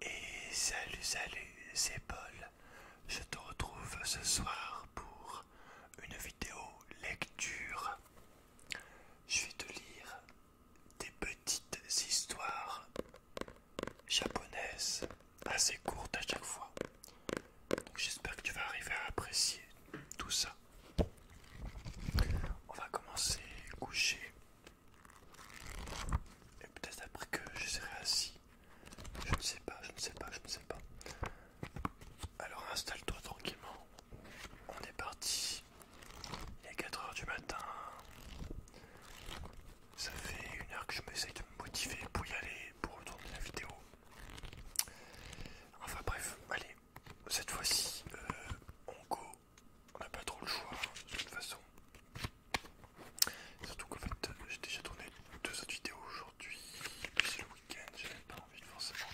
Et salut, salut, c'est Paul. Je te retrouve ce soir pour une vidéo lecture. Je vais te lire des petites histoires japonaises assez courtes à chaque fois. J'espère que tu vas arriver à apprécier tout ça. On va commencer coucher. Et peut-être après que je serai assis. Je ne sais pas, je ne sais pas, je ne sais pas. Alors installe-toi tranquillement. On est parti. Il est 4h du matin. Ça fait une heure que je m'essaye de me motiver pour y aller, pour retourner la vidéo. Enfin bref, allez, cette fois-ci, euh, on go on n'a pas trop le choix hein, de toute façon. Surtout qu'en fait, euh, j'ai déjà tourné deux autres vidéos aujourd'hui, puis c'est le week-end, j'avais pas envie forcément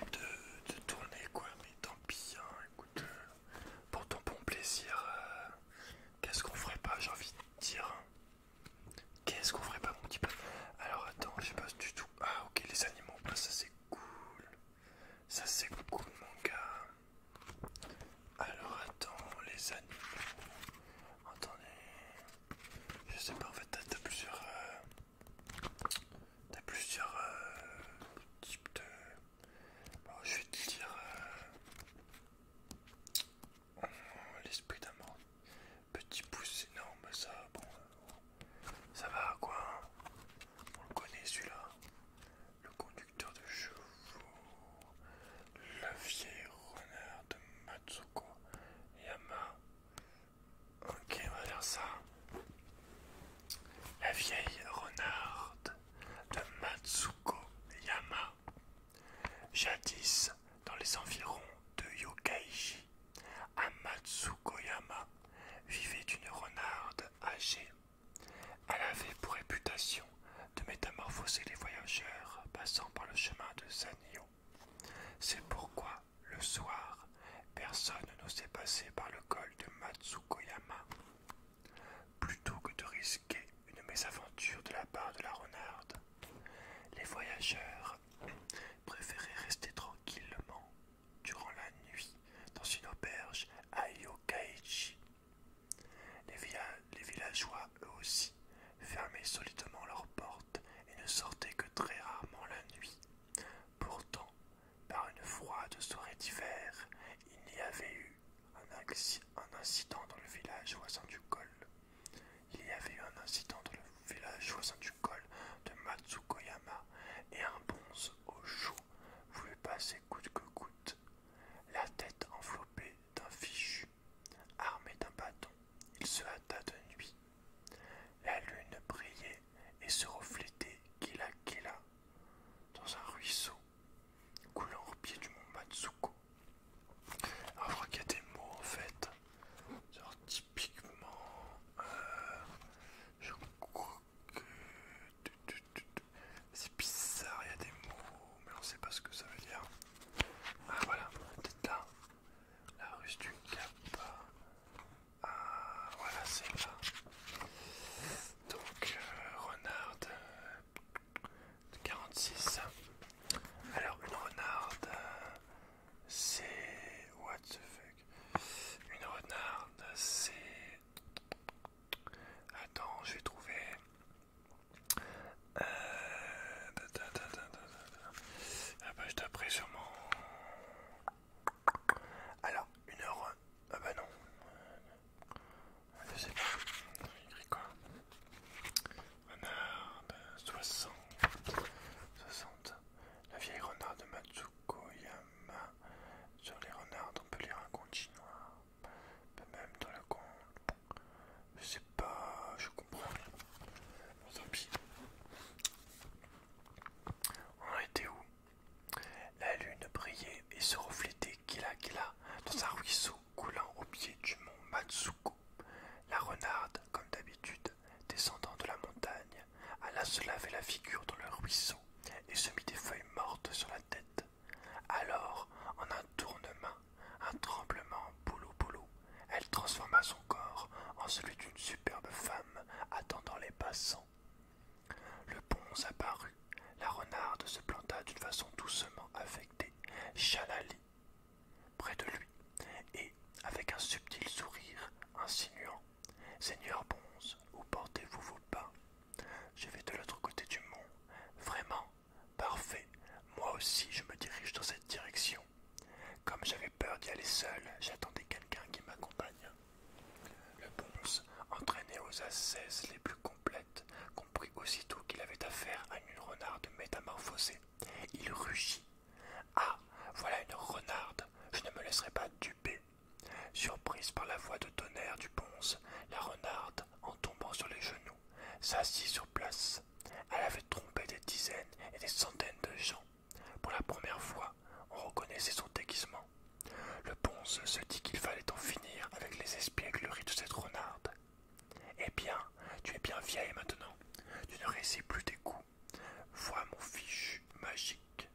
de, de, de tourner quoi, mais tant pis, hein, écoute, euh, pour ton bon plaisir, euh, qu'est-ce qu'on ferait pas, j'ai envie de dire. Hein. Qu'est-ce qu'on ferait pas, mon petit peu Alors attends, je sais pas du tout. Ah ok, les animaux, ah, ça c'est cool. Ça c'est cool mon gars Alors attends, les animaux. Attendez. Je sais pas en fait t'as plusieurs. t'as plusieurs euh, euh, types de. Bon, je vais te dire. Euh, L'esprit d'amour. Petit pouce énorme, ça. Bon. Ça va quoi On le connaît celui-là. Le conduit de de le vieil renard de Matsuko Yama. Ok, on va faire ça. La vieille renarde de Matsuko Yama, jadis dans les environs de Yokaiji, à Matsuko Yama, vivait une renarde âgée elle avait pour réputation de métamorphoser les voyageurs passant par le chemin de Sanyo. C'est pourquoi, le soir, personne n'osait passer par le col de Matsukoyama. Plutôt que de risquer une mésaventure de la part de la renarde, les voyageurs préféraient rester tranquillement durant la nuit dans une auberge à Yokaichi. Les, villageois, eux aussi, fermaient solidement leurs portes et ne sortaient que très rarement la nuit. Pourtant, par une froide soirée d'hiver, il y avait eu un, incident dans le village voisin du col. Il y avait eu un incident dans le village voisin du col de Matsukoyama et un bonze au chou voulait passer coûte que coûte la tête enveloppée d'un fichu. Armé d'un bâton, il se hâta de nuit. La lune brillait et se reflétait qu'il a dans un ruisseau coulant au pied du mont Matsuko. Alors qu'il y a des mots en fait, genre typiquement, euh, c'est bizarre, il y a des mots, mais on sait pas ce que ça veut dire. Ah voilà, peut là, la rue du Cap. Ah voilà, c'est là. Donc euh, renarde 46. Alors une renarde, c'est what the fuck Une renarde, c'est Attends, je vais trouver. Euh... page bah je taperai sûrement. Alors, une heure. Ah bah non. Ah, je sais pas. j'ai écrit quoi Renard 60. 60. La vieille renard de Matsu Koyama, Sur les renards, on peut lire un conte chinois. Même dans le con. Je sais pas, je comprends rien. On était où La lune brillait et se reflétait gila gila dans un ruisseau coulant au pied du mont Matsuko. La renarde, comme d'habitude, descendant de la montagne, alla se laver la figure dans le ruisseau et se mit des feuilles mortes sur la tête. Alors, en un tournement, un tremblement, boulot boulot, elle transforma son corps en celui d'une superbe femme attendant les passants. Le pont apparut, la renarde se planta d'une façon doucement affectée, chanali, près de lui, et, avec un subtil sourire insinuant, Seigneur Bonze, où portez-vous vos pas Je vais de l'autre côté du mont. Vraiment Parfait. Moi aussi, je me dirige dans cette direction. Comme j'avais peur d'y aller seul, j'attendais quelqu'un qui m'accompagne. Le bonze, entraîné aux ascèses les plus complètes, comprit aussitôt qu'il avait affaire à une renarde métamorphosée. Il rugit. Ah, voilà une renarde. Je ne me laisserai pas duper. Surprise par la voix de tonnerre du ponce, la renarde, en tombant sur les genoux, s'assit sur place. Elle avait trompé des dizaines et des centaines de gens. Pour la première fois, on reconnaissait son déguisement. Le ponce se dit qu'il fallait en finir avec les espiègleries de cette renarde. Eh bien, tu es bien vieille maintenant. Tu ne réussis plus tes coups. Vois mon fichu magique.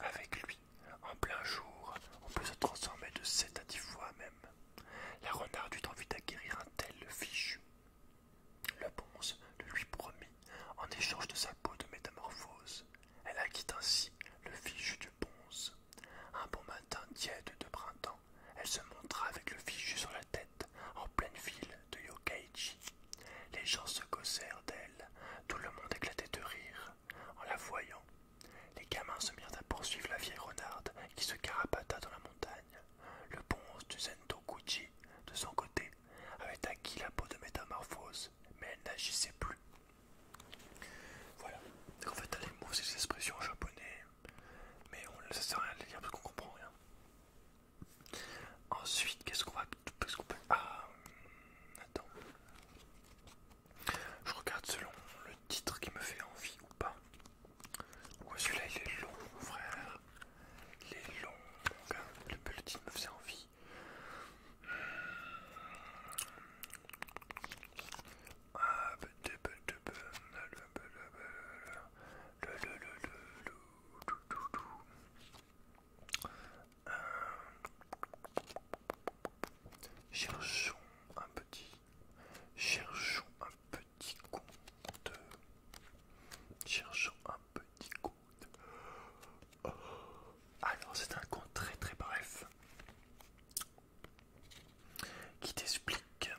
Avec lui, en plein jour, on peut se transformer de sept à dix fois même. La renarde eut envie d'acquérir un tel fichu. Le bonze le lui promit en échange de sa peau de métamorphose. Elle acquit ainsi le fichu du bonze. Un bon matin tiède de printemps, elle se montra avec le fichu sur la tête en pleine ville de Yokkaichi. Les gens se gossèrent d'elle, tout le monde éclatait de rire. En la voyant, les gamins se mirent à poursuivre la vieille renarde qui se carapata dans la montagne. Le bonze du Zentokuchi, de son côté, avait acquis la peau de métamorphose, mais elle n'agissait plus. Voilà. c'est en fait, elle les mots, des expressions japonais, mais on ne sait rien de les lire parce qu'on comprend rien. Ensuite, qu'est-ce qu'on va ah, attends. Je regarde selon le titre qui me fait envie ou pas. Pourquoi celui-là il est long, frère. Il est long, Le petit me faisait envie. Euh, cherchons un petit, cherchons un petit compte, cherchons un petit conte. Oh. Alors c'est un conte très très bref qui t'explique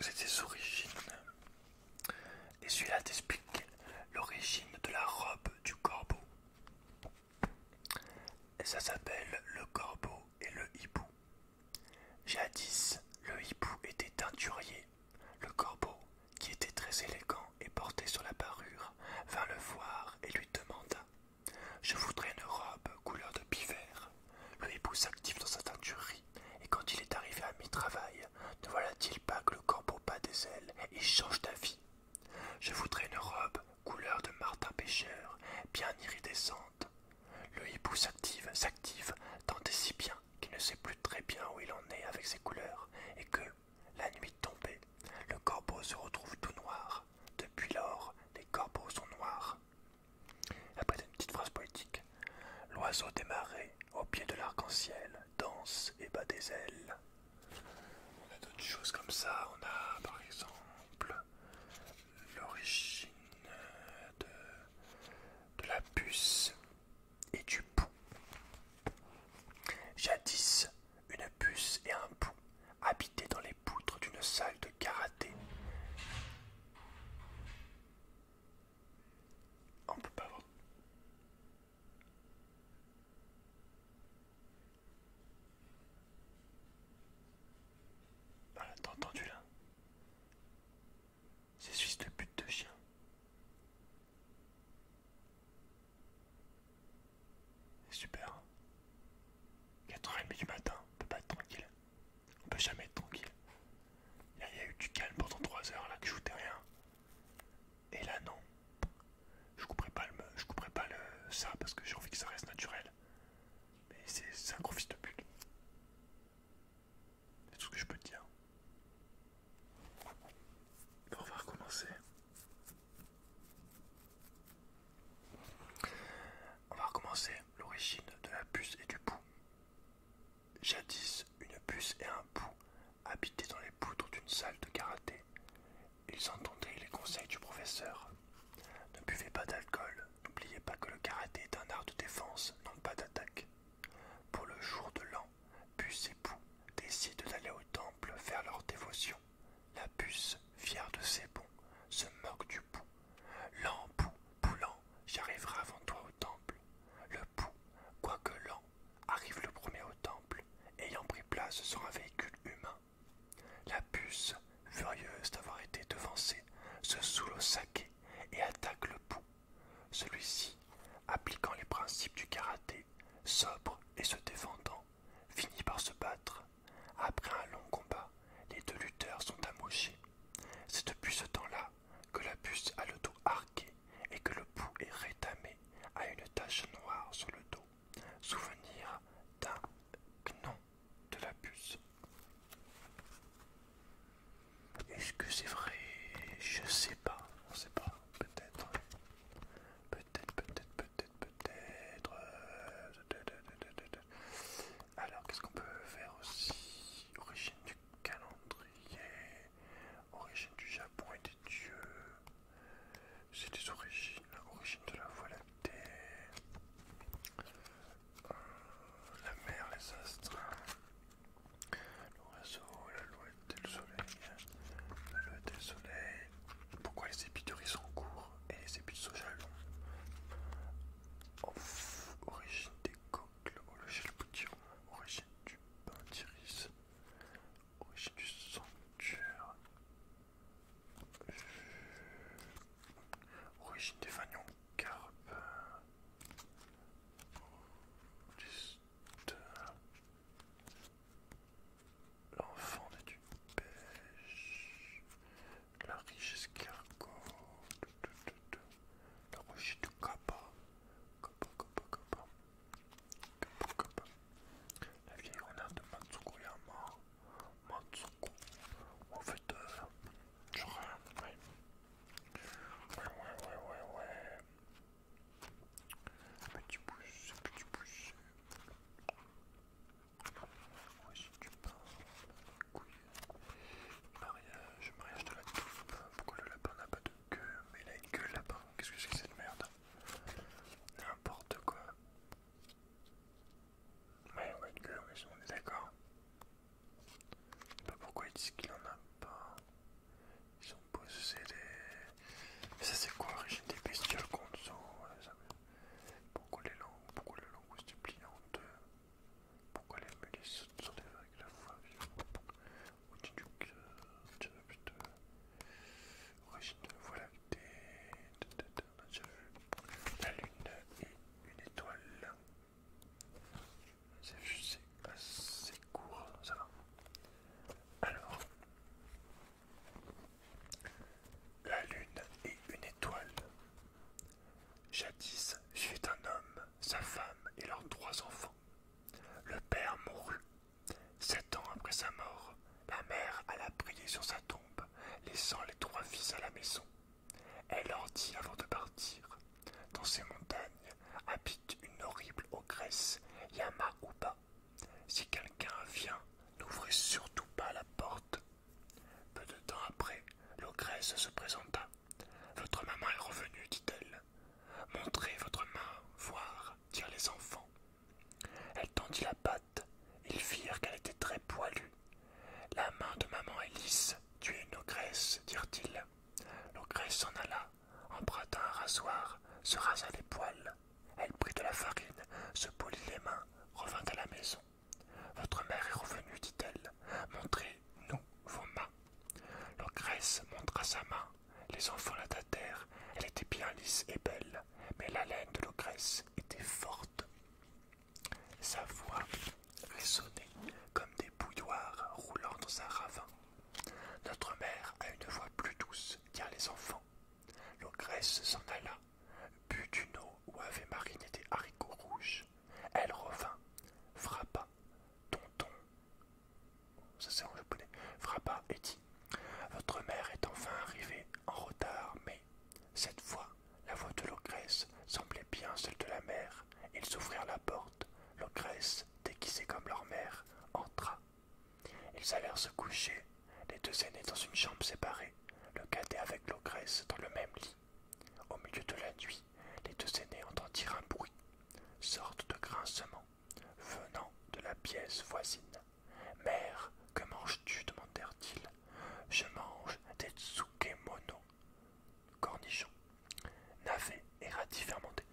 ses origines. Et celui-là t'explique l'origine de la robe du corbeau. Ça s'appelle le corbeau et le hibou. Jadis, le hibou était teinturier. Le corbeau, qui était très élégant et porté sur la parure, vint le voir et lui demanda Je voudrais une robe couleur de pivert. Le hibou s'active dans sa teinturerie, et quand il est arrivé à mi-travail, ne voilà-t-il pas que le corbeau bat des ailes et change d'avis je voudrais une robe couleur de Martin Pêcheur, bien iridescente. Le hibou s'active, s'active, tant et si bien qu'il ne sait plus très bien où il en est avec ses couleurs, et que, la nuit tombée, le corbeau se retrouve tout noir. Depuis lors, les corbeaux sont noirs. Après une petite phrase poétique, l'oiseau démarré au pied de l'arc-en-ciel danse et bat des ailes. On a d'autres choses comme ça. On a par exemple l'origine de, la puce et du pouls. Jadis, une puce et un pou habitaient dans les poutres d'une salle de karaté. On ne peut pas voir. Voilà, ah, t'as entendu là C'est juste le but de chien. C'est super. Hein 4h30 du matin, on peut pas être tranquille. On peut jamais être tranquille. il y a eu du calme pendant 3 h là que je foutais rien. Et là, non. Je couperai pas le, je couperai pas le, ça parce que j'ai envie que ça reste naturel. Mais c'est un gros fils de pute. C'est tout ce que je peux te dire. On va recommencer. On va recommencer l'origine de la puce et du pouls. Jadis, une puce et un pou Habité dans les poutres d'une salle de karaté. Ils entendaient les conseils du professeur. Ne buvez pas d'alcool, n'oubliez pas que le karaté est un art de défense, non pas d'attaque. Pour le jour de l'an, Puce et Pou décident d'aller au temple faire leur dévotion. La puce, fière de ses bons, se moque du Pou. L'an, Pou, Poulan, j'arriverai avant toi au temple. Le Pou, quoique l'an arrive le premier au temple, ayant pris place sur un véhicule humain. La puce, furieuse d'avoir été devancée, se saoule au saké et attaque le pou. Celui-ci, appliquant les principes du karaté, sobre et se défendant, finit par se battre. Après un long combat, les deux lutteurs sont amochés. C'est depuis ce temps-là que la puce a le dos arqué et que le pou est rétamé à une tache noire sur le dos souvenir d'un nom de la puce. Est-ce que c'est vrai Je sais pas, on sait pas, peut-être. Peut-être, peut-être, peut-être, peut-être. Alors, qu'est-ce qu'on peut faire aussi Origine du calendrier origine du Japon et des dieux. C'est des origines, origine de la voie la terre la mer, les astres, l'oiseau, loi et le soleil. la L'alouette et le soleil. Pourquoi les épis de riz sont courts et les épis de soja longs Origine des coques, le Origine du pain d'iris. Origine du sanctuaire. Origine des fanions carpe. L'enfant du pêche. La riche escargot. La riche du Kappa. Kappa, Kappa, Kappa. La vieille renarde de Matsuko Yama. Matsuko. En fait, euh, je ouais. ouais. Ouais, ouais, ouais, ouais. Petit pouce, petit pouce. Ouais, si tu parles. Couille. Mariage, mariage de la touffe. Pourquoi le lapin n'a pas de queue Mais il a une queue, là lapin. Qu'est-ce que c'est que cette merde N'importe quoi. Ouais, va être gueule, mais on est d'accord. Je sais pas pourquoi ils disent qu'il en a pas. Ils ont posé des... Mais ça, c'est quoi, l'origine des bestioles qu'on ça... Pourquoi les langues Pourquoi les langues se plient en euh, deux Pourquoi les mulets sont des vagues la fois Origine de la la lune et une étoile. C'est assez court, ça va. Alors, la lune et une étoile. Jadis j'étais un homme, sa femme et leurs trois enfants. Le père mourut Sept ans après sa mort, la mère alla prier sur sa tombe, laissant les trois fils à la maison. Elle leur dit avant de partir Dans ces montagnes habite une horrible ogresse, Yama Si quelqu'un vient, n'ouvrez surtout pas la porte. Peu de temps après, l'ogresse se présenta. Votre maman est revenue, dit-elle. Montrez votre main, voir, dire les enfants. Elle tendit la patte, ils firent qu'elle était très poilue. La main de maman est lisse, tu es une ogresse, dirent-ils. L'ogresse s'en alla, emprunta un rasoir, se rasa les poils. Elle prit de la farine, se polit les mains, revint à la maison. Votre mère est revenue, dit-elle. Montrez-nous vos mains. L'ogresse montra sa main les enfants la tâtèrent elle était bien lisse et belle, mais la l'haleine de l'ogresse était forte. Sa voix résonnait comme des bouilloires roulant dans un ravin. Notre mère a une voix plus douce, dirent les enfants. L'ogresse s'en alla, but d'une eau où avait mariné des haricots rouges. Elle revint, frappa, tonton Frappa et dit Votre mère est enfin arrivée en retard, mais cette fois, la voix de l'ogresse semblait bien celle de la mère. Ils ouvrirent la porte. L'ogresse déguisée comme leur mère, entra. Ils allèrent se coucher, les deux aînés dans une chambre séparée, le cadet avec l'ogresse dans le même lit. Au milieu de la nuit, les deux aînés entendirent un bruit, sorte de grincement venant de la pièce voisine. Mère, que manges-tu demandèrent-ils. Je mange des tsukemono, cornichons, navets et radis fermentés,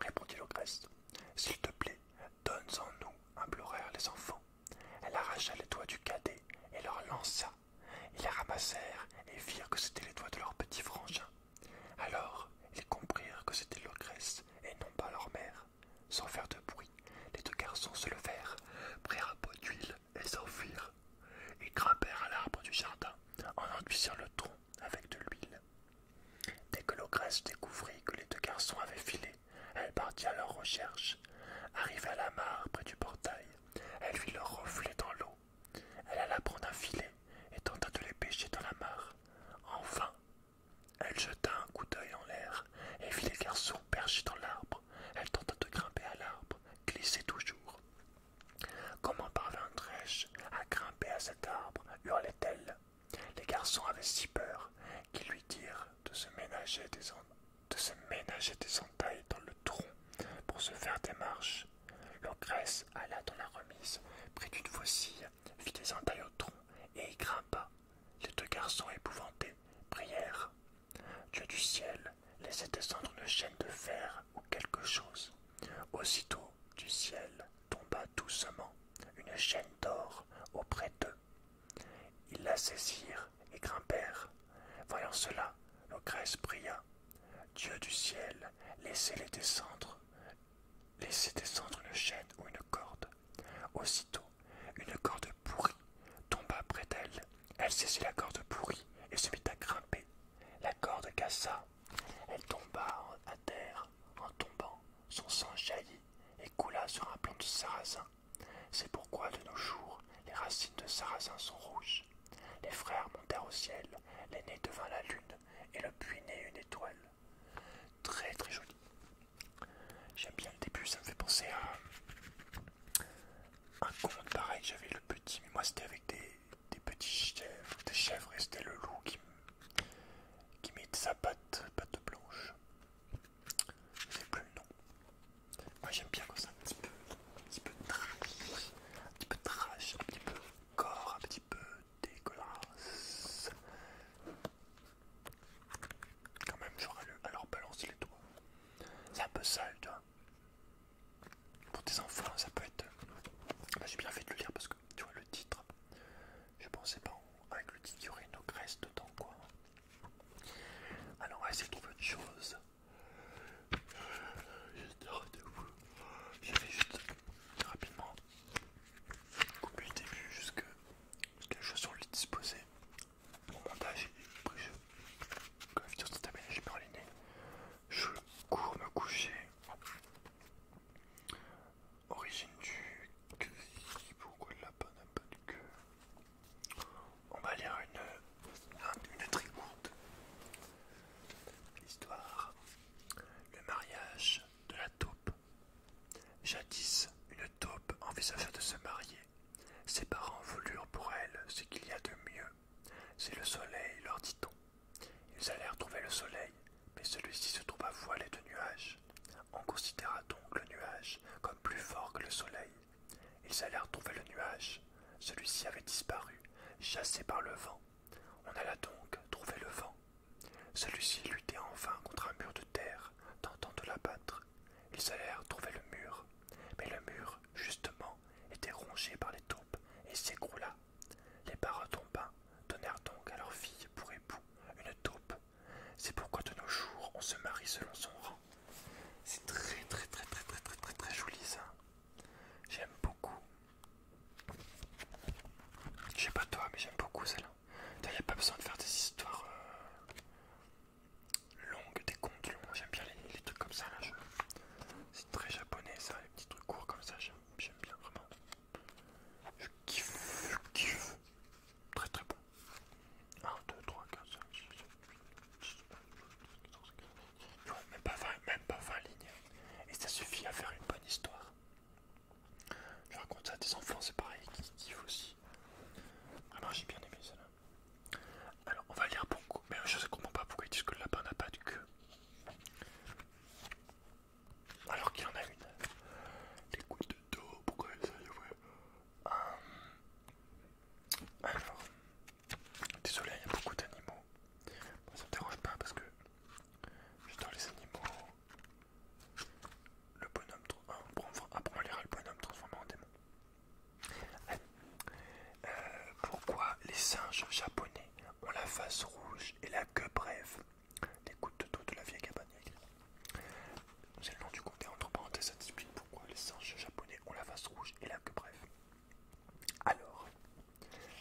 répondit l'ogresse. S'il te plaît, donne-en nous, implorèrent les enfants. Elle arracha les doigts du cadet et leur lança. Ils les ramassèrent et virent que c'étaient les doigts de leur petit frangin. Alors, ils comprirent que c'était l'ogresse et non pas leur mère. Sans faire de bruit, les deux garçons se levèrent, prirent un pot d'huile et s'enfuirent. Ils grimpèrent à l'arbre du jardin en enduisant le tronc avec de l'huile. Dès que Logresse découvrit que les deux garçons avaient filé, elle partit à leur recherche. Arrivée à la mare près du portail, elle vit leur reflet dans l'eau. Elle alla prendre un filet et tenta de les pêcher dans la mare. enfin elle jeta un coup d'œil en l'air et vit les garçons perchés dans l'arbre. Elle tenta de grimper à l'arbre, glissait toujours. Comment parviendrais je à grimper à cet arbre hurlait-elle. Les garçons avaient si peur qu'ils lui dirent de se ménager des entailles dans le tronc pour se faire des marches. Leur L'ogresse alla dans la remise, prit une voici fit des entailles au tronc et y grimpa. Les deux garçons épouvantés prièrent. Dieu du ciel laissez descendre une chaîne de fer ou quelque chose. Aussitôt du ciel tomba doucement une chaîne d'or auprès d'eux. Ils la saisirent et grimpèrent. Voyant cela, l'ogresse pria. Dieu du ciel, laissez-les descendre laissez descendre une chaîne ou une corde. Aussitôt, une corde pourrie tomba près d'elle. Elle saisit la corde pourrie et se mit à grimper. La corde cassa. Elle tomba à terre. En tombant, son sang jaillit et coula sur un plan de sarrasin. C'est pourquoi de nos jours, les racines de sarrasin sont rouges. Les frères montèrent au ciel, l'aîné devint la lune et le puits né une étoile. Très très joli. J'aime bien le début, ça me fait penser à un conte pareil. J'avais le petit, mais moi c'était avec des, petits chèvres, et c'était le loup qui, qui met sa patte, patte blanche. Je plus le nom. Moi j'aime bien quand ça un petit peu, un petit peu trash, un petit peu trash, un petit peu corps, peu dégueulasse. Quand même, j'aurais le. Alors, balancer les doigts. C'est un peu sale, tu vois. Pour tes enfants, ça peut être. Euh, bah, j'ai bien fait de le lire parce que tu vois le titre. Je pensais pas avec le titre, il y aurait une graisse dedans, quoi. Alors, on va essayer de trouver autre chose. Euh, juste rapidement depuis le début jusqu'à ce que les choses sont disposées. Mon montage Après je. Quand bah, la vidéo s'est aménagée par les je cours me coucher. Origine du pourquoi le lapin n'a pas de queue On va lire une, une très courte histoire. Le mariage la Jadis, une taupe envisagea de se marier. Ses parents voulurent pour elle ce qu'il y a de mieux. C'est le soleil, leur dit-on. Ils allèrent trouver le soleil, mais celui-ci se trouva voilé de nuages. On considéra donc le nuage comme plus fort que le soleil. Ils allèrent trouver le nuage. Celui-ci avait disparu, chassé par le vent. On alla donc trouver le vent. Celui-ci luttait en vain contre un mur de terre, tentant de l'abattre. Ils allèrent trouver le mur, mais le mur, justement, était rongé par les taupes et s'écroula. Les tombants donnèrent donc à leur fille pour époux une taupe. C'est pourquoi de nos jours on se marie selon son rang. C'est très très très très très très très très joli ça. J'aime beaucoup. Je sais pas toi, mais j'aime beaucoup celle-là. Il n'y a pas besoin de faire des histoires longues, des contes longs. J'aime bien les, trucs comme ça. C'est très japonais ça, les petits trucs courts comme ça. J'aime bien vraiment. Je kiffe, je kiffe. Très très bon. 1, 2, 3, 4, 5, 6, 7, 8, 9, 10, 11, 12, 13, 14, 15, 16, 17, 18, 19, 20. Même pas 20 lignes. Et ça suffit à faire une bonne histoire. Je raconte ça à des enfants, c'est pareil, qui kiffent aussi. Vraiment, ah, j'ai bien aimé ça Alors, on va lire Bongo, mais je ne comprends pas pourquoi ils disent que le lapin n'a pas de queue. Alors qu'il y en a une. Les couilles de dos, pourquoi ça y est, Alors, désolé, il y a beaucoup d'animaux on ne dérange pas parce que j'adore les animaux. Le bonhomme. après ah, on ah, lira le bonhomme transformé en démon. Euh, pourquoi les singes japonais ont la face rouge et la queue brève Des gouttes dos de la vieille cabane. C'est le nom du comté entre parenthèses, ça pourquoi les singes japonais ont la face rouge et la queue brève. Alors,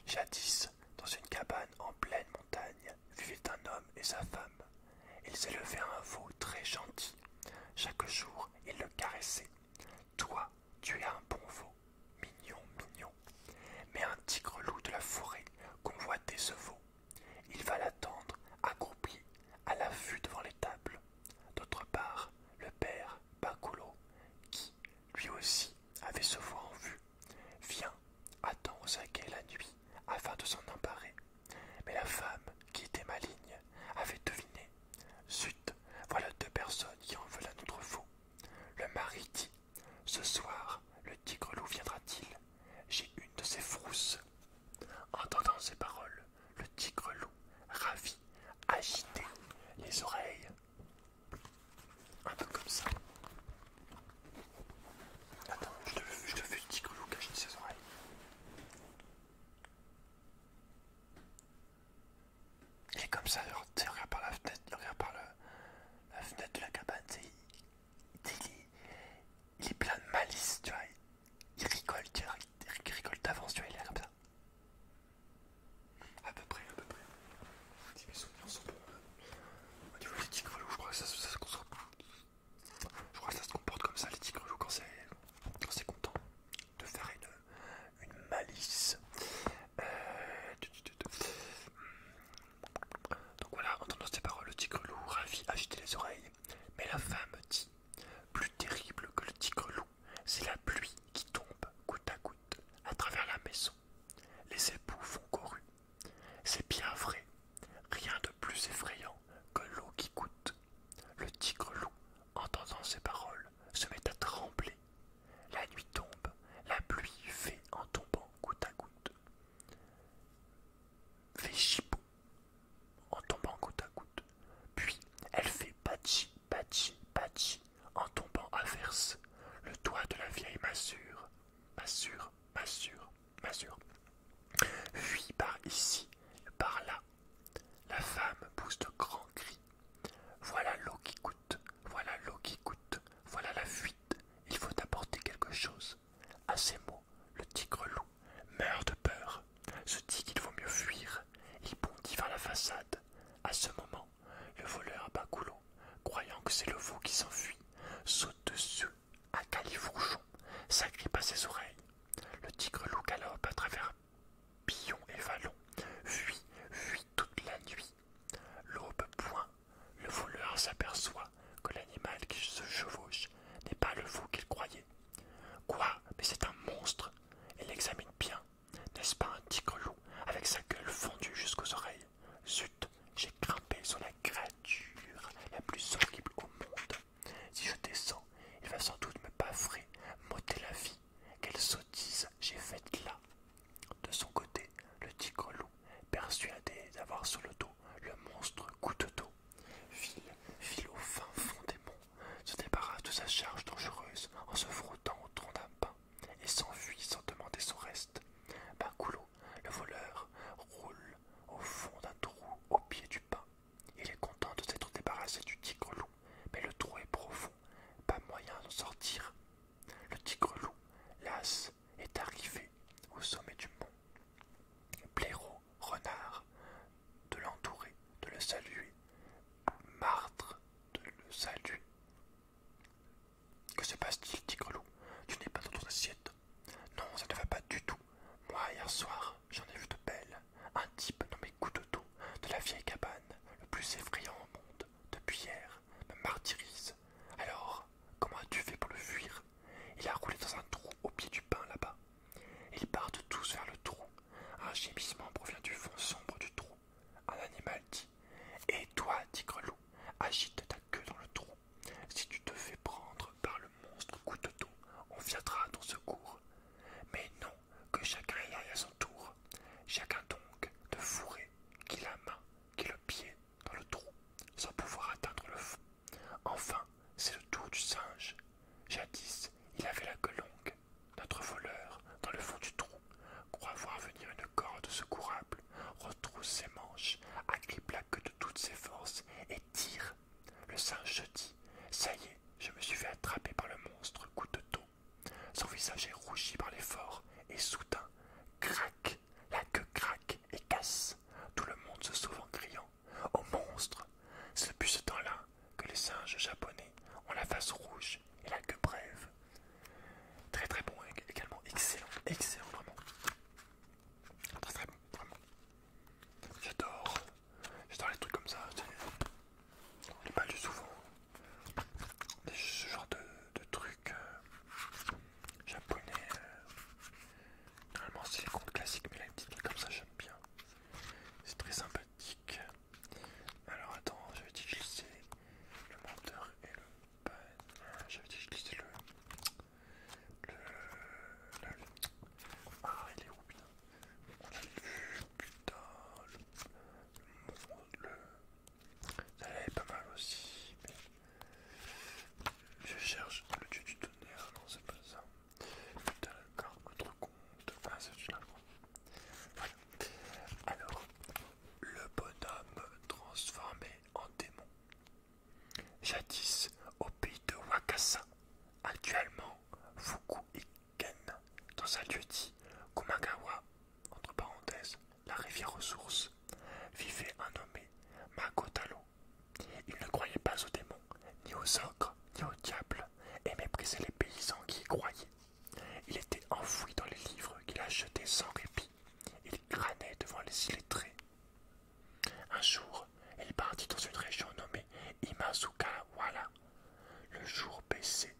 Jadis, dans une cabane en pleine montagne, vivaient un homme et sa femme. Ils élevaient un veau très gentil. Chaque jour, ils le caressaient. Toi, tu es un bon veau, mignon, mignon. Mais un tigre loup de la forêt convoitait ce veau. Il va l'attendre, accroupi, à la vue devant les tables. D'autre part, le père, Bacolo, qui, lui aussi, avait ce veau en vue, Viens, attends saquet la nuit afin de s'en emparer. Mais la femme, qui était maligne, avait deviné. Zut, voilà deux personnes qui en veulent à notre fou. Le mari dit Ce soir, le tigre-loup viendra-t-il J'ai une de ces frousses. Entendant ces paroles, le tigre-loup, ravi, agitait les oreilles. Un peu comme ça. Attends, je te, fais te petit une petite coulou ses oreilles. Il est comme ça, il regarde par la fenêtre, regarde par la fenêtre de la cabane, tu il, est plein de malice, tu vois, il, rigole, tu vois, il, rigole d'avance, tu vois, il est comme ça. À peu près, à peu près. Si mes souvenirs sont bons. Au niveau des tigres loups je crois que ça, je crois que ça se comporte comme ça, les tigres loups quand c'est content de faire une, une malice. Euh, Donc voilà, entendant ces paroles, le tigre loup ravi agitait les oreilles. Mais la femme dit Plus terrible que le tigre loup, c'est la pluie qui tombe goutte à goutte à travers la maison les époux font couru. C'est bien vrai, rien de plus effrayant que l'eau qui coûte. Le tigre-loup, entendant ces paroles, se met à trembler. La nuit tombe, la pluie fait en tombant goutte à goutte. Fait en tombant goutte à goutte. Puis elle fait patchi, patchi, patchi en tombant averse, le doigt de la vieille massure, massure, massure, masure fuit par ici, par là. La femme pousse de grands cris. Voilà l'eau qui coûte, voilà l'eau qui coûte, voilà la fuite, il faut apporter quelque chose. À ces mots, le tigre loup meurt de peur, se dit qu'il vaut mieux fuir, il bondit vers la façade. À ce moment, le voleur à bas croyant que c'est le veau qui s'enfuit, saute dessus à califourchon, s'agrippe à ses oreilles. Le tigre loup galope à travers pillons et vallons, fuit, fuit toute la nuit. L'aube point, le voleur s'aperçoit que l'animal qui se chevauche n'est pas le veau qu'il croyait. Quoi Mais c'est un monstre Il l'examine bien, n'est-ce pas un tigre-loup avec sa gueule fendue jusqu'aux oreilles Zut, j'ai grimpé sur la créature la plus horrible au monde. Si je descends, il va sans doute me baffrer, m'ôter la vie. Quelle sottise j'ai faite là De son côté, le tigre-loup, persuadé d'avoir sur le dos le monstre goutte d'eau file, file au fin fond des monts, se débarrasse de sa charge dangereuse en se frottant au tronc d'un pin et s'enfuit sans demander son reste. Bacoulot, le voleur, roule au fond d'un trou au pied du pin. Il est content de s'être débarrassé du tigre-loup, mais le trou est profond, pas moyen d'en sortir. Le tigre-loup, las, est arrivé au sommet du mont. Blaireau, renard, de l'entourer, de le saluer, martre, de le saluer, que se passe-t-il, Tigre-Loup Tu n'es pas dans ton assiette. Non, ça ne va pas du tout. Moi, hier soir, j'en ai vu de belles. Un type nommé Couteau de la vieille cabane, le plus effrayant au monde, depuis hier, me martyrise. Alors, comment as-tu fait pour le fuir Il a roulé dans un trou au pied du pin là-bas. Ils partent tous vers le trou. Un gémissement provient du fond sombre du trou. Un animal dit Et toi, tigre loup, agite ta queue dans le trou. Si tu te fais prendre par le monstre coup de dos, on viendra à ton secours. Mais non, que chacun y aille à son tour. Chacun donc de fourrer, qui la main, qui le pied, dans le trou, sans pouvoir atteindre le fond. Enfin, c'est le tour du singe. Jadis, il avait la queue longue, notre voleur, dans le fond du trou, croit voir venir une corde secourable, retrousse ses manches, agrippe la queue de toutes ses forces et tire. Le singe se dit Ça y est, je me suis fait attraper par le monstre coup de dos. Son visage est rougi par l'effort et soudain, crac La queue craque et casse. Tout le monde se sauve en criant Au monstre C'est depuis ce temps-là que les singes japonais ont la face rouge et la que brève. Très très bon également, excellent, excellent vraiment. Très très bon, vraiment. J'adore, j'adore les trucs comme ça. On n'est pas du souvent. ce genre de, de trucs euh, japonais. Euh, normalement c'est les comptes classiques, mais là petite comme ça j'aime bien. C'est très sympathique. Alors attends, je vais utiliser je le menteur et le J'avais dit que je le. le. Ah, est où, putain le le. pas mal aussi, Je cherche le dieu du tonnerre, non, c'est pas ça. Putain, le compte. Ah, c'est Alors, le bonhomme transformé en démon. Jadis au pays de Wakasa, actuellement Fuku-Iken, dans un lieu-dit Kumagawa, entre parenthèses, la rivière source), vivait un nommé Makotalo. Il ne croyait pas aux démons, ni aux ogres, ni aux diables, et méprisait les paysans qui y croyaient. Il était enfoui dans les livres qu'il achetait sans répit. Il granait devant les illettrés. Un jour, il partit dans une région nommée Imazukawala. Le jour baissait.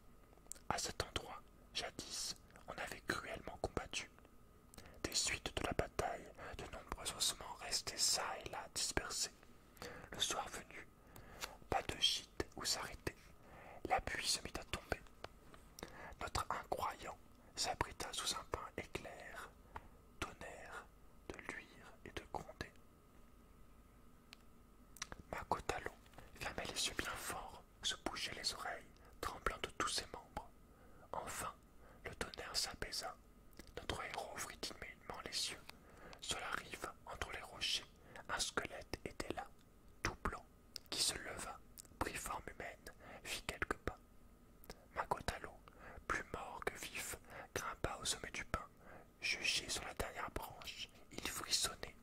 À cet endroit, jadis, on avait cruellement combattu. Des suites de la bataille, de nombreux ossements restaient çà et là dispersés. Le soir venu, pas de gîte où s'arrêter. La pluie se mit à tomber. Notre incroyant s'abrita sous un pain éclair, tonnerre, de luire et de gronder. Makotalo fermait les yeux bien forts, se bougeait les oreilles, tremblant de tous ses membres. Enfin, le tonnerre s'apaisa. Notre héros ouvrit immédiatement les yeux. Sur la rive, entre les rochers, un squelette était là, tout blanc, qui se leva, prit forme humaine, fit quelques pas. Magotalo, plus mort que vif, grimpa au sommet du pin. Juché sur la dernière branche, il frissonnait.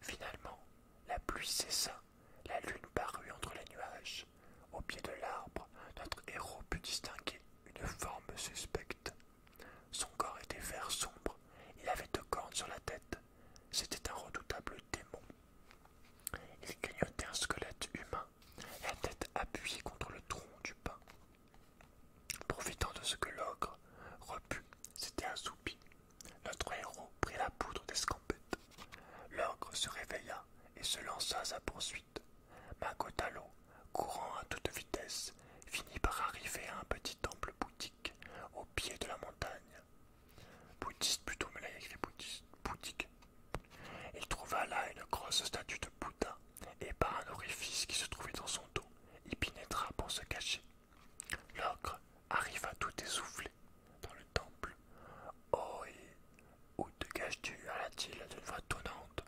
Finalement, la pluie cessa, la lune parut entre les nuages. Au pied de l'arbre, notre héros put distinguer une forme suspecte. Son corps était vert sombre, il avait deux cornes sur la tête, c'était un redoutable démon. Il gagnotait un squelette humain, la tête appuyée contre le tronc du pin. Profitant de ce que l'ogre, repu, s'était assoupi, notre héros prit la poudre d'escampette. L'ogre se réveilla et se lança à sa poursuite. Magotalo, courant à toute vitesse, finit par arriver à un petit temple boutique au pied de la montagne bouddhiste plutôt, mais là il Il trouva là une grosse statue de Bouddha, et par un orifice qui se trouvait dans son dos, il pénétra pour se cacher. L'ogre arriva tout essoufflé dans le temple. Oh, où te caches-tu alla-t-il d'une voix tonnante.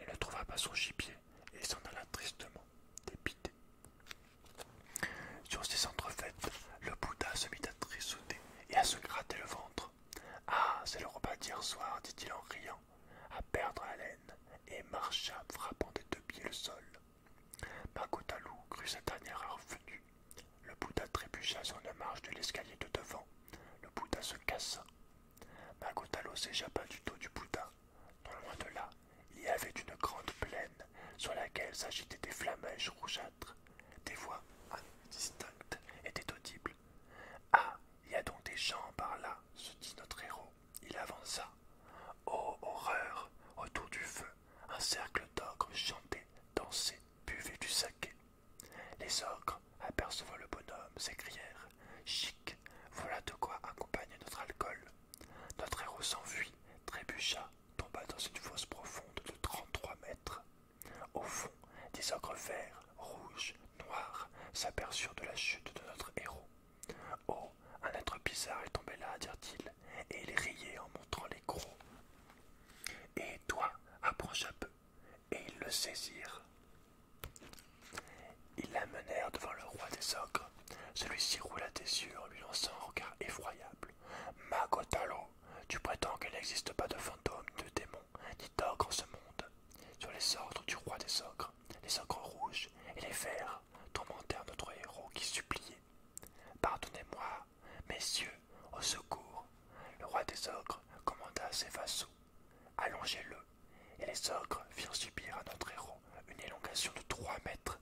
Il ne trouva pas son gibier et s'en alla tristement, dépité. Sur ces entrefaites, le Bouddha se mit à trissonner et à se gratter le ventre. Ah, c'est le repas d'hier soir, dit-il en riant, à perdre haleine, et marcha frappant des deux pieds le sol. Magotalou crut cette dernière heure venue. Le Bouddha trébucha sur une marche de l'escalier de devant. Le Bouddha se cassa. Magotalou s'échappa du dos du Bouddha non loin de là, il y avait une grande plaine sur laquelle s'agitaient des flammes rougeâtres. Des voix indistinctes étaient audibles. Ah, il y a donc des gens par là, se dit notre héros. Il avança. Oh, horreur Autour du feu, un cercle d'ogres chantait, dansait, buvait du saké. Les ogres, apercevant le bonhomme, s'écrièrent Chic, voilà de quoi accompagner notre alcool. Notre héros s'enfuit, trébucha, tomba dans une fosse profonde de trente-trois mètres. Au fond, des ogres verts, rouges, noirs s'aperçurent de la chute de notre héros. Oh, un être bizarre est tombé là, dirent-ils, et ils riaient en montrant les crocs. Et toi, approche un peu. Et ils le saisirent. Ils l'amenèrent devant le roi des ogres. Celui-ci roula des yeux en lui lançant un regard effroyable. Magotalo, tu prétends qu'il n'existe pas de fantômes, de démons, ni d'ogres en ce monde. Sur les ordres du roi des ogres, les ogres rouges et les verts tourmentèrent notre héros qui suppliait. Pardonnez-moi, messieurs, au secours. Le roi des ogres commanda à ses vassaux. Allongez-le, et les ogres firent subir à notre héros une élongation de trois mètres.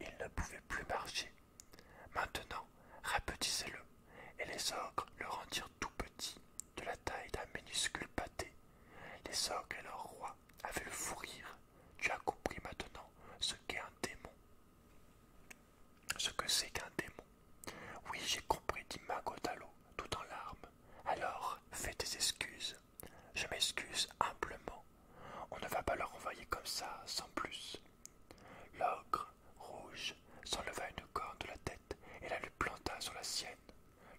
Il ne pouvait plus marcher. Maintenant, rapetissez-le, et les ogres le rendirent tout petit, de la taille d'un minuscule pâté. Les ogres et leur roi avaient le fou rire. Tu as compris maintenant ce qu'est un démon. Ce que c'est qu'un démon. Oui, j'ai compris, dit Magotalo, tout en larmes. Alors, fais tes excuses. Je m'excuse humblement. On ne va pas le renvoyer comme ça, sans plus. L'ogre rouge s'enleva une corne de la tête et la lui planta sur la sienne.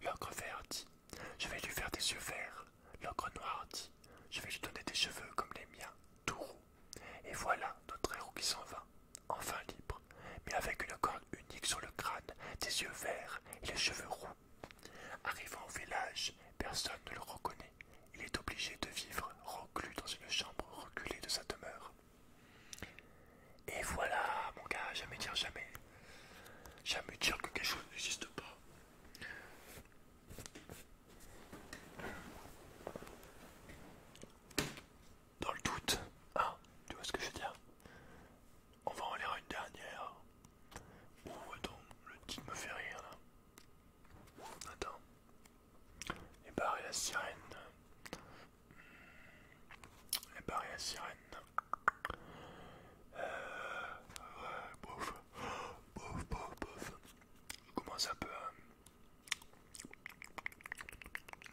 L'ogre vert dit Je vais lui faire des yeux verts. L'ogre noir dit Je vais lui donner des cheveux comme les miens, tout roux. Et voilà notre héros qui s'en va, enfin libre, mais avec une corne unique sur le crâne, des yeux verts et les cheveux roux Arrivant au village, personne ne le reconnaît. Il est obligé de vivre reclus dans une chambre reculée de sa demeure. Et voilà, mon gars, jamais dire jamais. Jamais dire que quelque chose n'existe pas. Dans le doute, ah, tu vois ce que je veux dire On va en lire une dernière. Ouh, attends, le titre me fait rire là. Attends. Et la sirène. Hmm. Et la sirène. Euh. Ouais, bof. Bof, bof, bof. Comment ça peut. Hein.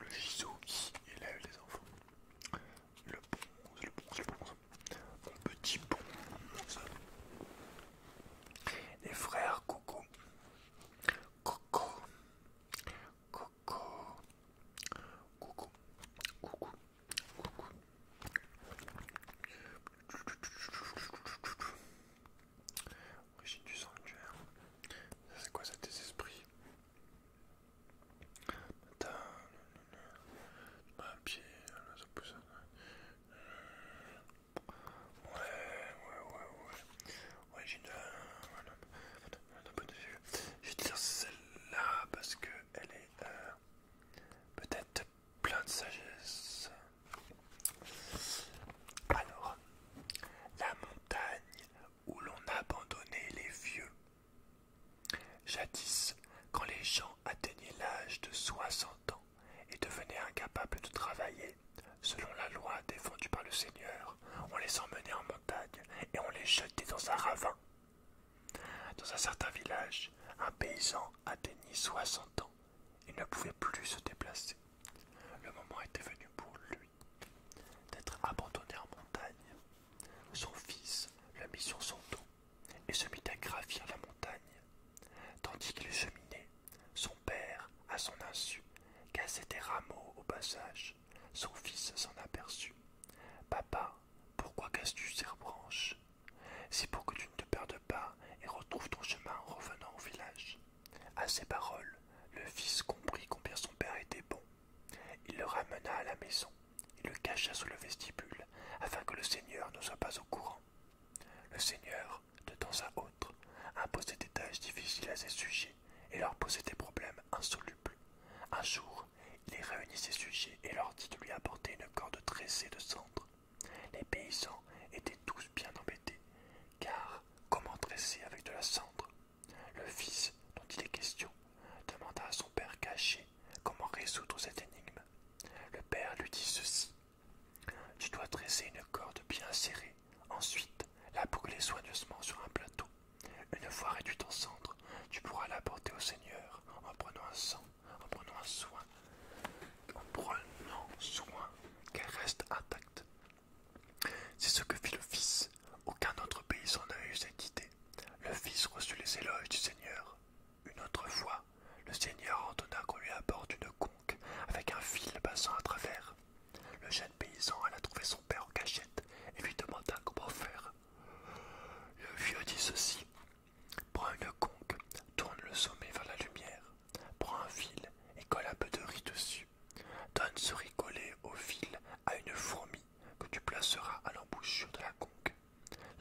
le ici qui élève les enfants. Le bronze, le bronze, le bronze mon petit ça. Les frères Coco, Coco, Coco, Coco, Coco, Coco. Origine du sanctuaire. C'est quoi ça, tes esprits un pied, ça pousse. Ouais, ouais, ouais, ouais. Ouais, j'ai Je vais te dire celle-là parce que elle est peut-être plein de sagesse. Alors, la montagne où l'on abandonnait les vieux. Jadis, quand les gens atteignit l'âge de 60 ans et devenait incapable de travailler, selon la loi défendue par le Seigneur, on les emmenait en montagne et on les jetait dans un ravin. Dans un certain village, un paysan atteignit 60 ans Il ne pouvait plus se déplacer. Le moment était venu pour lui d'être abandonné en montagne. Son fils le mit sur son dos et se mit à gravir la montagne, tandis qu'il cheminait, son père, à son insu, cassait des rameaux au passage. Son fils s'en aperçut. Papa, pourquoi casses-tu ces branches C'est pour que tu ne te perdes pas et retrouves ton chemin en revenant au village. À ces paroles, le fils comprit combien son père était bon. Il le ramena à la maison il le cacha sous le vestibule, afin que le Seigneur ne soit pas au courant. Le Seigneur, de temps à autre, imposait des tâches difficiles à ses sujets et leur posait des problèmes insolubles. Un jour, il réunit ses sujets et leur dit de lui apporter une corde tressée de cendre. Les paysans étaient tous bien embêtés, car comment tresser avec de la cendre Le fils, dont il est question, demanda à son père caché comment résoudre cette énigme. Le père lui dit ceci. Tu dois dresser une corde bien serrée, ensuite la boucler soigneusement sur un plateau. Une fois réduite en cendres, tu pourras l'apporter au Seigneur en prenant un sang, en prenant un soin, en prenant soin qu'elle reste intacte. C'est ce que fit le fils. Aucun autre paysan n'a eu cette idée. Le fils reçut les éloges du Seigneur. Une autre fois, le seigneur ordonna qu'on lui apporte une conque avec un fil passant à travers. Le jeune paysan alla trouver son père en cachette et lui demanda comment faire. Le vieux dit ceci Prends une conque, tourne le sommet vers la lumière, prends un fil et colle un peu de riz dessus. Donne ce riz collé au fil à une fourmi que tu placeras à l'embouchure de la conque.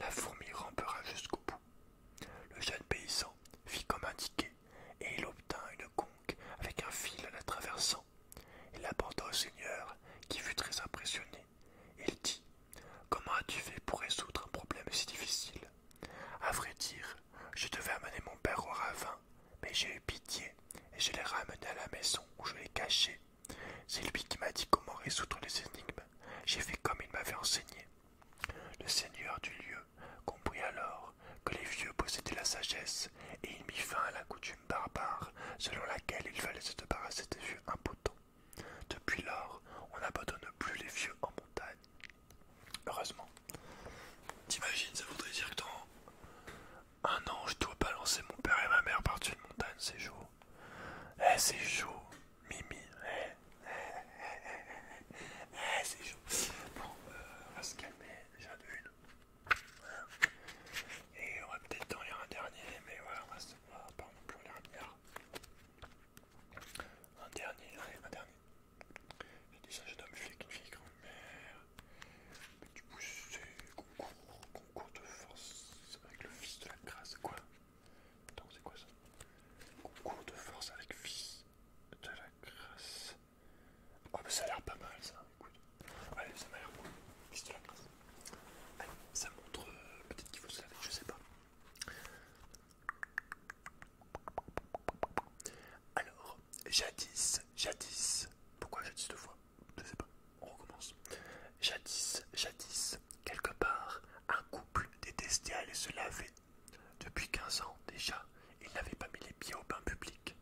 La fourmi rampera jusqu'au bout. Le jeune paysan fit comme indiqué, et il obtint une conque avec un fil la traversant. Il l'apporta au seigneur, qui fut très impressionné. Il dit Comment as-tu fait pour résoudre un problème si difficile À vrai dire, je devais amener mon père au ravin, mais j'ai eu pitié et je l'ai ramené à la maison où je l'ai caché c'est lui qui m'a dit comment résoudre les énigmes. J'ai fait comme il m'avait enseigné. Le seigneur du lieu comprit alors que les vieux possédaient la sagesse, et il mit fin à la coutume barbare selon laquelle il fallait se débarrasser des vieux impotents. Depuis lors, on n'abandonne plus les vieux en montagne. Heureusement. T'imagines, ça voudrait dire que dans un an, je dois balancer mon père et ma mère par-dessus une montagne, ces jours. Eh, c'est chaud, Mimi. Eh, eh, eh, eh c'est chaud. Bon, euh, on va se calmer j'en une. Hein. Et on va peut-être en lire un dernier, mais voilà, on va se. Pas en lire un Un dernier, allez, un dernier. J'ai déjà ça, j'ai nommé flic, une grand-mère. Mais du coup, c'est concours, concours de force avec le fils de la grâce, quoi. Attends, c'est quoi ça Concours de force avec fils de la grâce. Oh, mais ça a l'air pas mal ça, écoute. Allez, ça m'a l'air bon. Fils de la grâce. Allez, ça montre. Euh, peut-être qu'il faut se laver, je sais pas. Alors, jadis, jadis. Pourquoi jadis deux fois Je sais pas, on recommence. Jadis, jadis, quelque part, un couple détestait aller se laver. Depuis quinze ans déjà, ils n'avaient pas mis les pieds au bain public.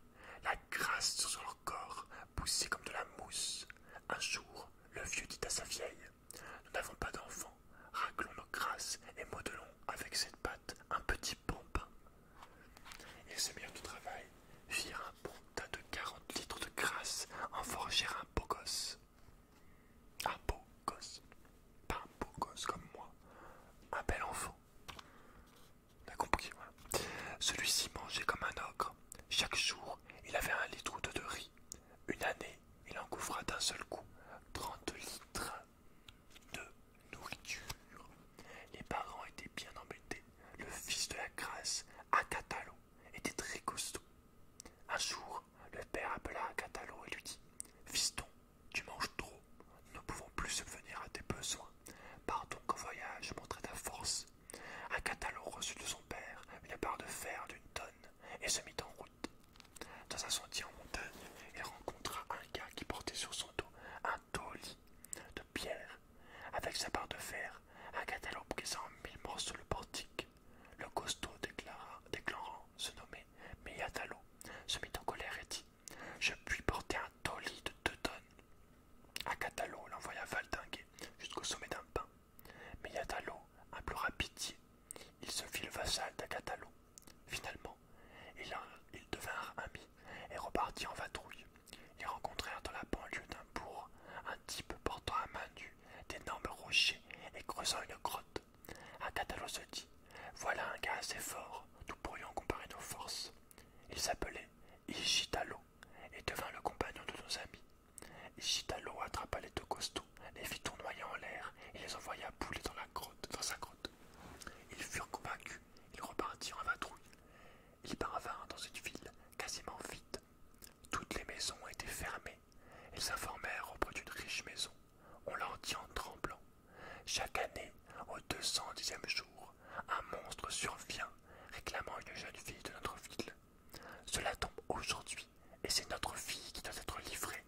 La grâce sur leur corps poussait comme de la mousse. Un jour, le vieux dit à sa vieille Nous n'avons pas d'enfant. raclons nos grâces et modelons avec cette pâte un petit bon Ils se mirent au travail, firent un bon de quarante litres de grâce, en forgèrent un beau un beau gosse. Pas un beau gosse comme moi. Un bel enfant. Celui-ci mangeait comme un ogre. Chaque jour, il avait un litre ou de riz. Une année, il en couvra d'un seul coup 30 litres de nourriture. Les parents étaient bien embêtés. Le fils de la grâce, Atatalo, était très costaud. Un jour, le père appela un et lui dit Fiston, tu manges trop, nous ne pouvons plus subvenir à tes besoins. Pars donc au voyage, montre ta force. Un Catalan reçut de son père une barre de fer d'une tonne et se mit en route. Dans un sentier en montagne, il rencontra un gars qui portait sur son dos un taulis de pierre. Avec sa barre de fer, un Catalan brisa en mille morceaux le portique le costaud déclara, déclarant se nommer Meyatalo se mit en colère et dit Je puis porter un toli de deux tonnes. Agatalo l'envoya valdinguer jusqu'au sommet d'un pin. Meyatalo implora pitié. Il se fit le vassal d'Agatalo. Finalement, ils devinrent amis et repartirent en vadrouille. Ils rencontrèrent dans la banlieue d'un bourg un type portant un main-du d'énormes rochers et creusant une grotte. Un se dit Voilà un gars assez fort, nous pourrions comparer nos forces. Il s'appelait Ishitalo et devint le compagnon de nos amis. Ishitalo attrapa les deux costauds, les fit tournoyer en l'air et les envoya bouler dans la grotte, dans sa grotte. Ils furent convaincus, ils repartirent en vadrouille. Ils parvinrent dans une ville quasiment vide. Toutes les maisons étaient fermées. Ils informèrent auprès d'une riche maison. On leur dit en tremblant. Chaque année, au deux-cent-dixième jour, un monstre survient, réclamant une jeune fille de notre ville. Cela tombe aujourd'hui, et c'est notre fille qui doit être livrée.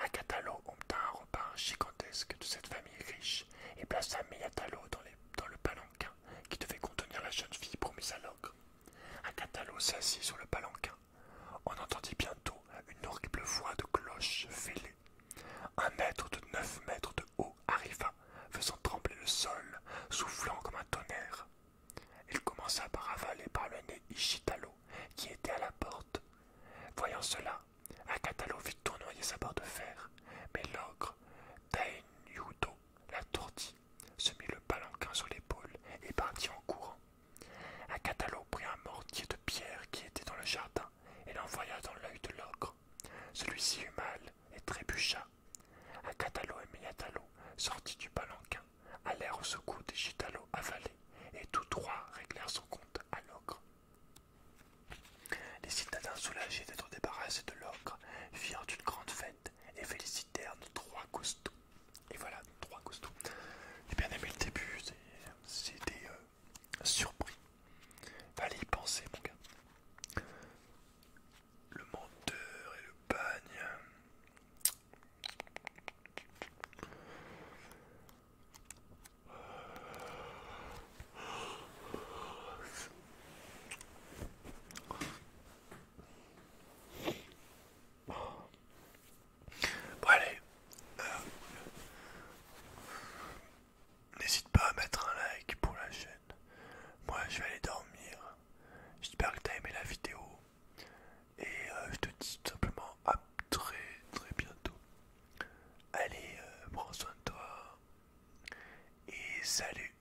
Un Akatalo obtint un repas gigantesque de cette famille riche et plaça Miyatalo dans, dans le palanquin qui devait contenir la jeune fille promise à l'ogre. Un s'assit sur le palanquin. On entendit bientôt une horrible voix de cloche fêlée. Un être de neuf mètres de haut arriva, faisant trembler le sol, soufflant comme un tonnerre. Il commença par avaler par le nez Ishitalo, qui était à la porte. Voyant cela, Akatalo vit tournoyer sa barre de fer, mais l'ogre, la tourdit se mit le palanquin sur l'épaule et partit en courant. Un prit un mortier de pierre qui était dans le jardin et l'envoya dans l'œil de l'ogre. Celui-ci eut mal et trébucha. Un catalo et Méatalo sortis du palanquin, allèrent au secours des Gitalo avalés, et tous trois réglèrent son compte à l'ogre. Les citadins soulagés d'être débarrassés de l'ogre firent une grande fête et félicitèrent nos trois costauds. Et voilà, trois costauds. J'ai eh bien aimé le début, c'était surpris. Allez y penser, mon gars. Le menteur et le bagne. Bon allez, euh, n'hésite pas à mettre un like pour la chaîne. Moi je vais aller dormir. J'espère que t'as aimé la vidéo. Et euh, je te dis tout simplement à très très bientôt. Allez, euh, prends soin de toi. Et salut